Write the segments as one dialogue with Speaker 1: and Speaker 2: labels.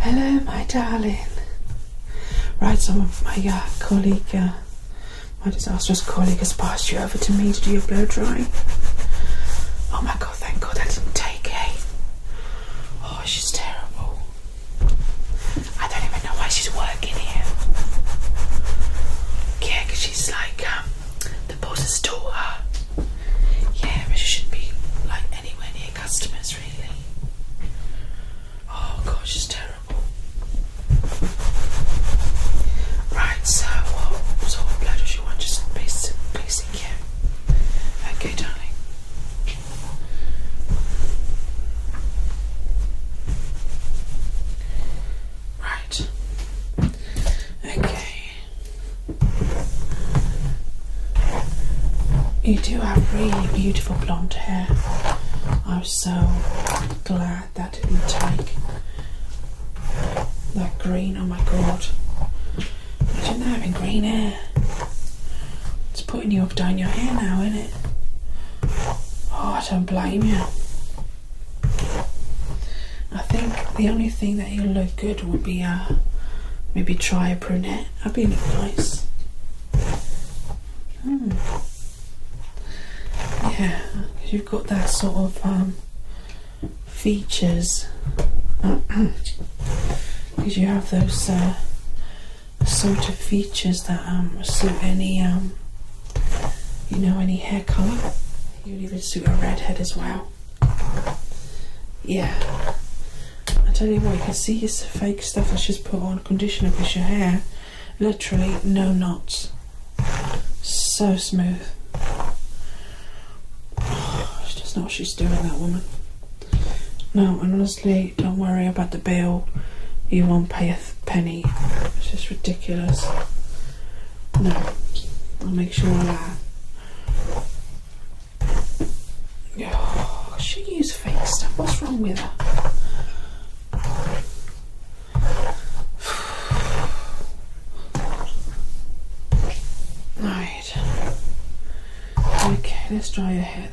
Speaker 1: Hello, my darling. Right, so my uh, colleague, uh, my disastrous colleague, has passed you over to me to do your blow drying. Oh my god, thank god that didn't take a. Oh, she's terrible. I don't even know why she's working work because she's like, um, the boss's daughter. Yeah, but she shouldn't be like anywhere near customers, really. Oh gosh, she's terrible. Right, so what sort of blood does she want? Just basic, basic, yeah. Okay, darling. Right. Okay. You do have really beautiful blonde hair. I'm so glad that didn't take that green. Oh my god. Imagine having green hair. It's putting you off down your hair now, isn't it? Oh, I don't blame you. I think the only thing that will look good would be uh, maybe try a brunette. That'd be nice. Hmm. Yeah, you've got that sort of um, features because you have those uh, sort of features that um, suit any um, you know, any hair colour. You would even suit a redhead as well. Yeah. I tell you what, you can see this fake stuff that she's put on conditioner because your hair, literally no knots. So smooth. Oh, it's just not what she's doing, that woman. No, honestly, don't worry about the bill. You won't pay a penny. It's just ridiculous. No, I'll make sure I laugh. Oh, she uses fake stuff. What's wrong with her? Right. Okay, let's dry your hair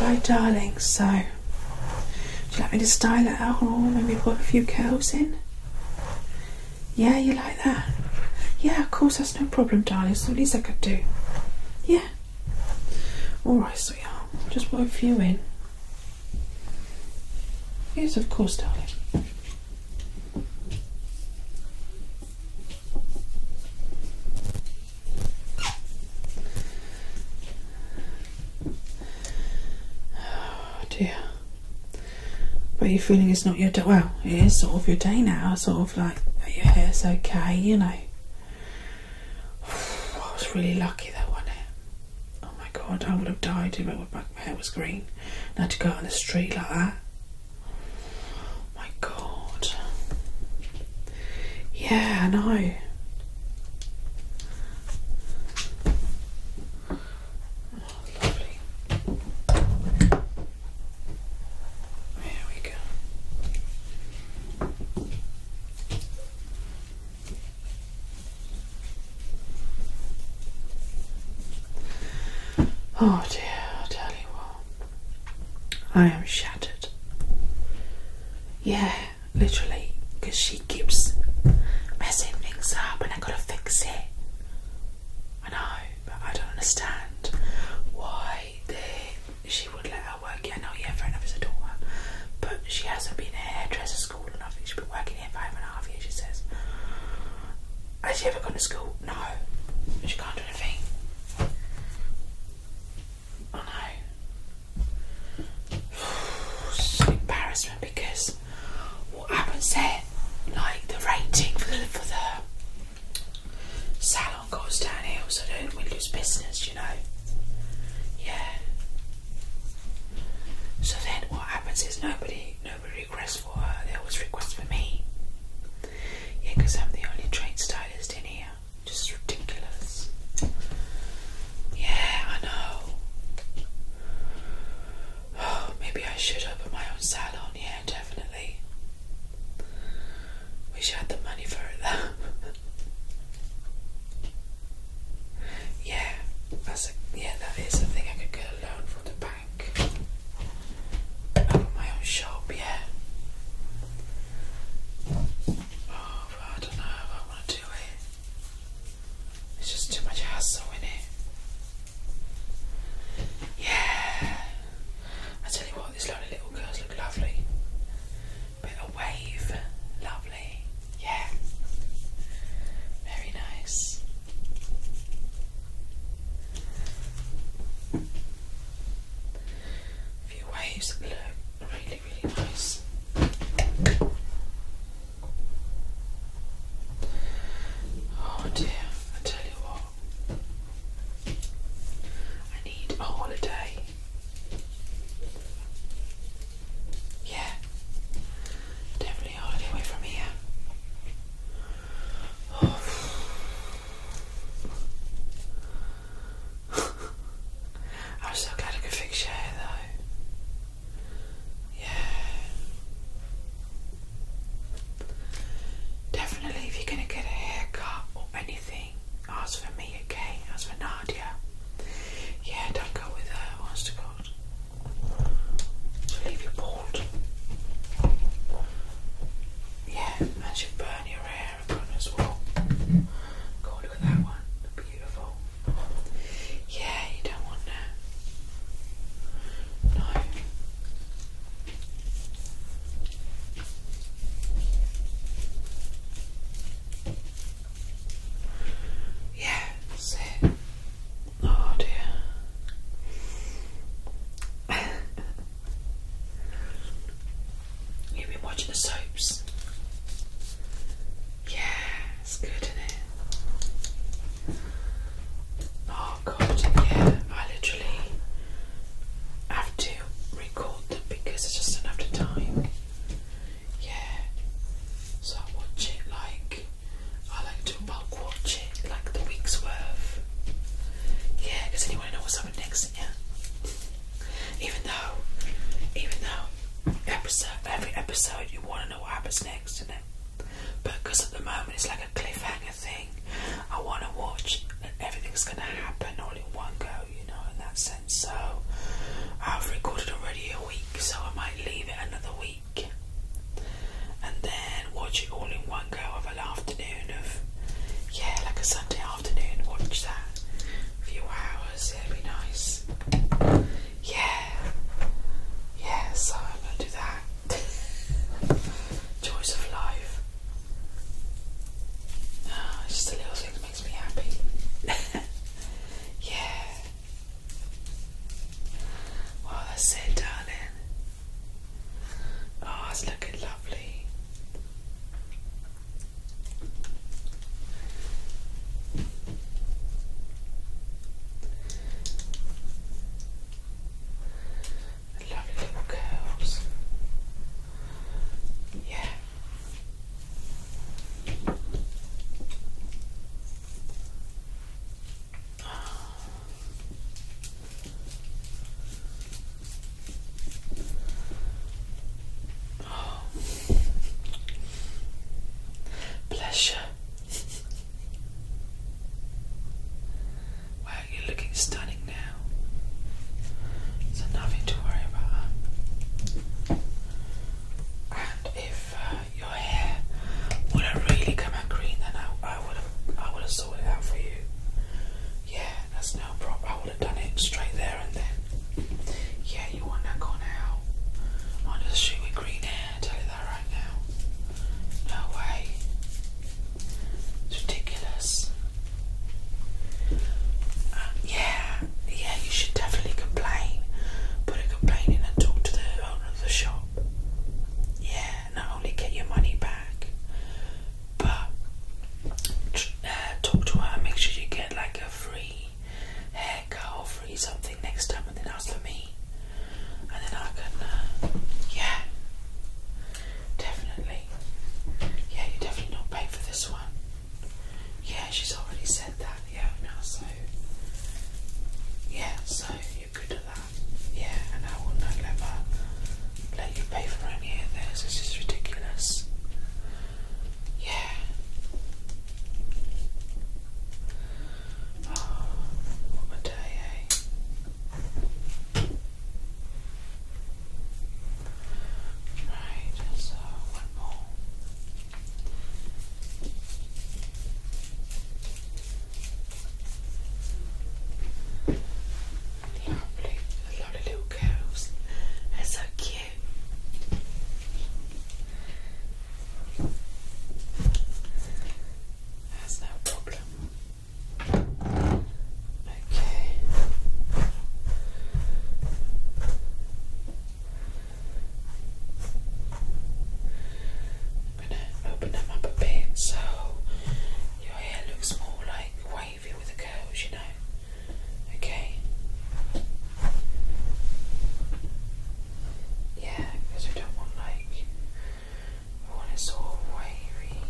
Speaker 1: Right, darling, so do you like me to style it out or maybe put a few curls in? Yeah, you like that? Yeah, of course, that's no problem, darling. It's the least I could do. Yeah. Alright, sweetheart. Just put a few in. Yes, of course, darling. Oh dear. But you're feeling it's not your day. Well, it is sort of your day now. Sort of like your hair's okay, you know. I was really lucky that was Oh my god, I would have died if my hair was green. And I had to go out on the street like that. Oh my god. Yeah, I know. lovely. There we go. Oh dear, I tell you what, I am shattered. Yeah, literally, because she keeps messing things up and I gotta fix it. I know, but I don't understand why she would let her work here. I know, yeah, fair enough, it's a daughter, but she hasn't been a hairdresser school enough. She's been working here five and a half years, she says. Has she ever gone to school? No. She can't do anything. Oh know. It's an because what happens there, like the rating for the, for the salon goes downhill, so then we lose business, you know. Yeah. So then what happens is nobody requests for her, they always request for me. Yeah, I'm the only trained stylist in here. Just ridiculous. Yeah, I know. maybe I should open my own salon. Yeah, definitely. Wish I had the money for it though. yeah, that's a, yeah, that is a thing I could get a loan from the back bank. my own shop, yeah. Oh, I don't know I want to do it. It's just too much hassle in it. Yeah. I tell you what, these lovely little girls look lovely. Bit of wave, lovely. Yeah. Very nice. A few waves that look really, really nice. Oh dear, I tell you what, I need a holiday. Yeah, Definitely hardly away from here. I'm so glad I could fix your hair though. Yeah. Definitely, if you're gonna get a haircut or anything, ask for me, okay? Ask for Nadia. Yeah, don't go with her. What's the called? So leave you bald. Yeah, and she burn your hair as well. Go look at that one. Beautiful. Yeah, you don't want that. No. Yeah, that's Oh dear. You've been watching the soaps. Yeah, it's good, isn't it? Oh god, yeah, I literally have to record them because I just don't have the time. Yeah. So I watch it like I like to bulk watch it, like the week's worth. Yeah, because anyone know what's up next, yeah. Even though, even though every episode you want to know what happens next, isn't it? But because at the moment it's like a cliffhanger thing, I want to watch and everything's going to happen all in one go, you know, in that sense. So I've recorded already a week, so I might leave it another week and then watch it all in one go of an afternoon of yeah like a Sunday afternoon watch that few hours it'd be nice yeah yeah so I'm gonna do that choice of life oh, it's just a little thing that makes me happy yeah well, I it, darling. Oh, it's looking lovely. Lovely little curls. Yeah. Bless you. Wow, you're looking stunning now. So nothing to worry about. And if if your hair would have really come out green, then I, would have I would have sorted out for you. Yeah, that's no problem. I would have done it straight there and then. Yeah, you wouldn't have gone out on the green hair. tell you that right now. No way. It's ridiculous. Uh, yeah, yeah, you should definitely complain. Put a complaint in and talk to the owner of the shop. Yeah, not only get your money back, but uh, talk to her and make sure you get like a free haircut or free something next time and then ask for me. And then I can, uh, yeah, definitely. Yeah, you definitely not pay for this one. Yeah, she's already said that. Yeah, now so. Yeah, so you're good at that. Yeah, and I will not let you pay for any of this. This is ridiculous. Yeah. Oh, what a day, eh? Right, so one more. They are blue, a lot of That's so cute. That's no problem. Okay. I'm gonna open them up a bit so your hair looks more like wavy with the curls, you know. Okay. Yeah, because I want like I want it sort of wavy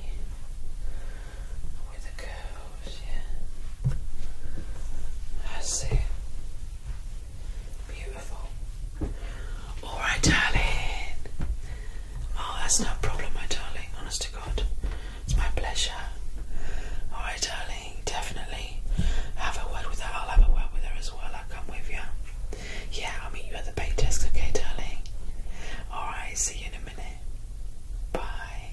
Speaker 1: with the curls yeah. Oh, I see. Beautiful. Alright, darling. Oh, that's no problem, my darling. Honest to God. It's my pleasure. Alright, darling. Definitely have a word with her. I'll have a word with her as well. I'll come with you. Yeah, I'll meet you at the pay desk, okay, darling? Alright, see you in a minute. Bye.